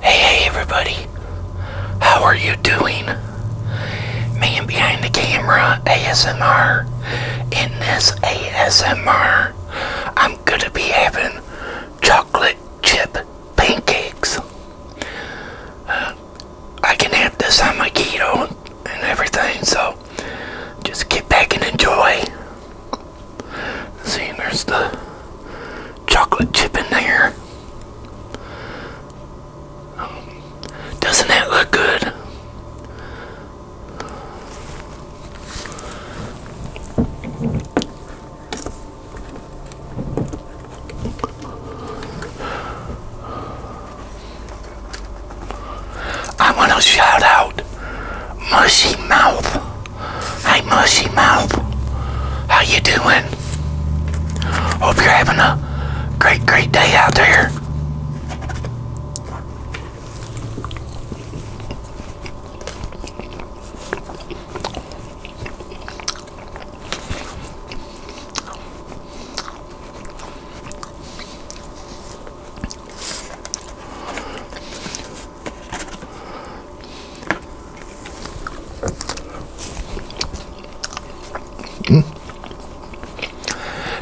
Hey, everybody. How are you doing? Man behind the camera, ASMR. In this ASMR, I'm going to be having chocolate chip pancakes. Uh, I can have this on my keto and everything, so just get back and enjoy. See, there's the chocolate chip in there. Um, doesn't that look good? I want to shout out Mushy Mouth. Hey, Mushy Mouth. How you doing? Hope you're having a great, great day out there.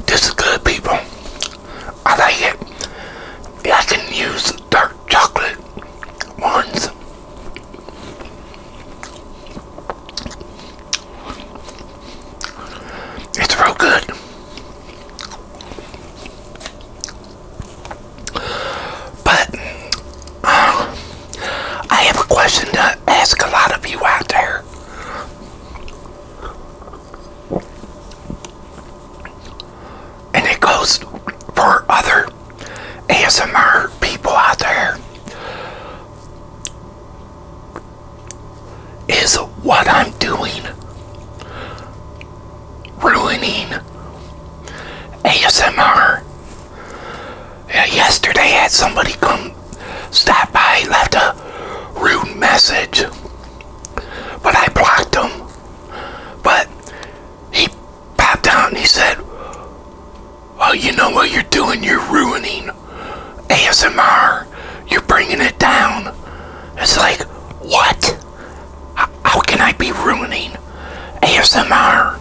This is good, people. I like it. I can use dark chocolate ones. It's real good. But uh, I have a question to ask a lot of you out there. And it goes for other ASMR people out there is what I'm doing ruining ASMR. yesterday, had somebody come stop by, left a rude message, but I blocked him. But he popped out and he said, "Well, you know what you're doing? You're ruining ASMR." You're bringing it down. It's like, what? How can I be ruining ASMR?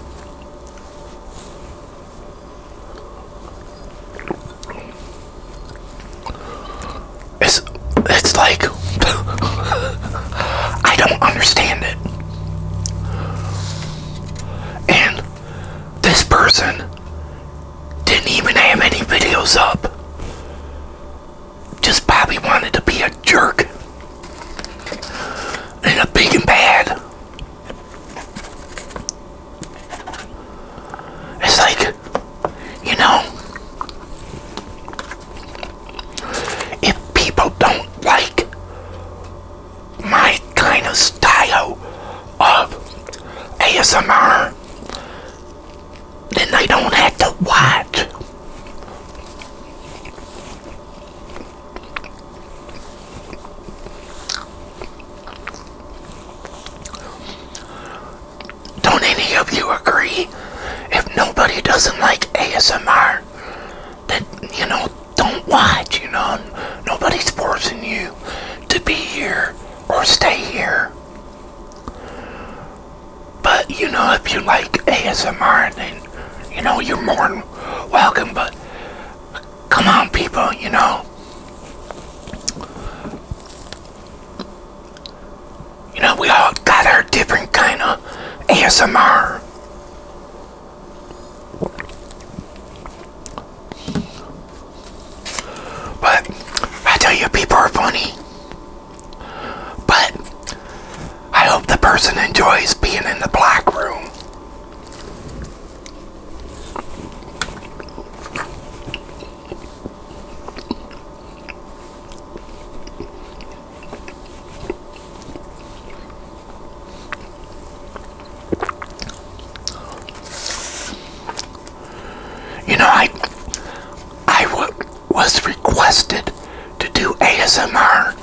It's, it's like, I don't understand it. And this person didn't even have any videos up. Just Bobby wanted to be a jerk. And a big and bad. It's like, you know, if people don't like my kind of style of ASMR, then they don't have to watch. Don't any of you agree? If nobody doesn't like ASMR, then you know, don't watch, you know. Nobody's forcing you to be here or stay here. But you know, if you like ASMR, then you know you're more than welcome. But come on, people, you know. You know, we all got our different kind of ASMR. But I tell you, people are funny. But I hope the person enjoys being in the black room. You know, I I was requested to do ASMR.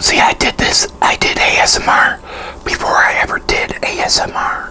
See, I did this. I did ASMR before I ever did ASMR.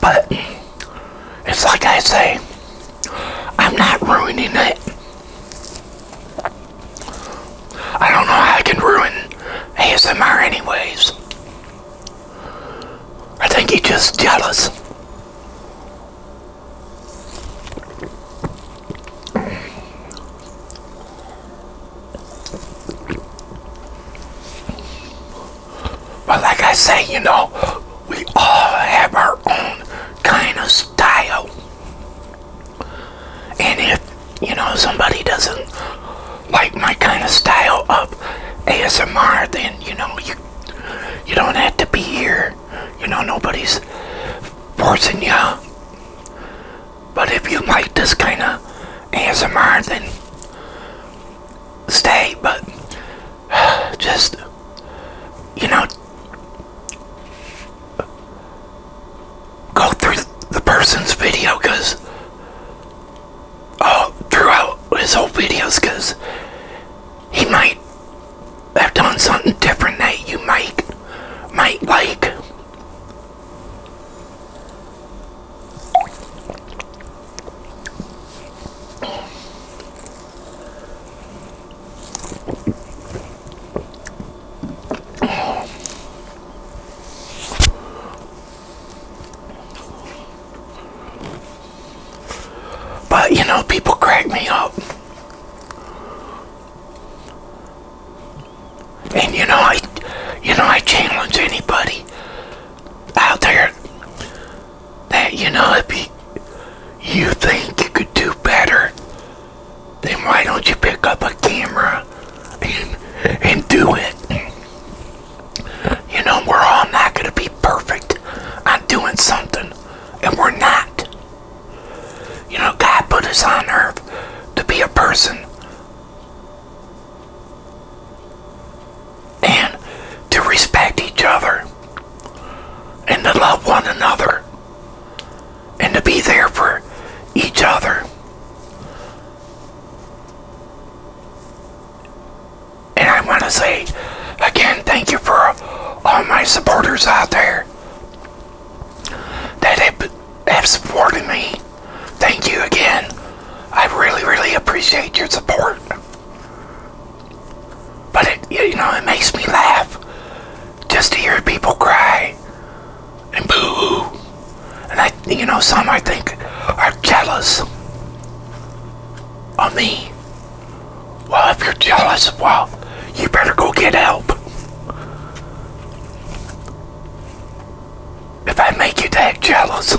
But it's like I say, I'm not ruining it. I don't know how I can ruin ASMR anyways. I think he's just jealous. But like I say, you know, we all have our own kind of style. And if, you know, somebody doesn't like my kind of style of ASMR, then, you know, you, you don't have to be here you know, nobody's forcing you. But if you like this kind of ASMR, then stay. But just, you know, go through the person's video oh, throughout his whole videos because he might i have done something different that you might might like. But you know, people crack me up. And you know, I, you know, I challenge anybody out there that you know if you, you think you could do better, then why don't you pick up a camera and and do it? You know, we're all not going to be perfect I'm doing something and we're not. You know, God put us on earth to be a person and to respect each other and to love one another and to be there for each other. And I want to say again, thank you for all my supporters out there that have, have supported me. Thank you again. I really, really appreciate your support. But it, you know, it makes me laugh just to hear people cry and boo And I, you know, some I think are jealous of me well, if you're jealous, well, you better go get help. If I make you that jealous,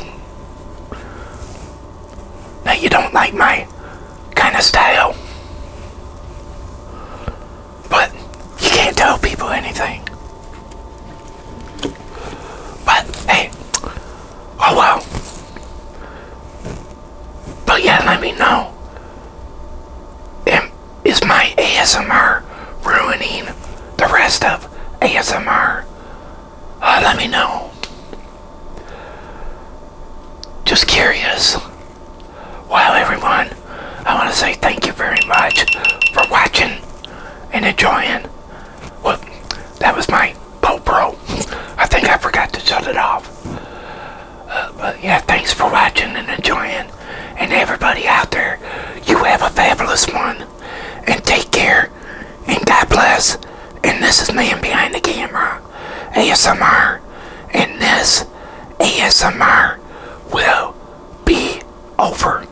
that you don't like my kind of style, but you can't tell people anything. But hey, Oh well. But yeah, let me know. is my ASMR ruining the rest of ASMR? Uh, let me know. Just curious. Well, everyone, I want to say thank you very much for watching and enjoying well, that was my GoPro. I think I forgot to shut it off. Uh, but yeah, thanks for watching and enjoying. And everybody out there, you have a fabulous one. And take care. And God bless. And this is me Behind the Camera, ASMR. And this ASMR will be over.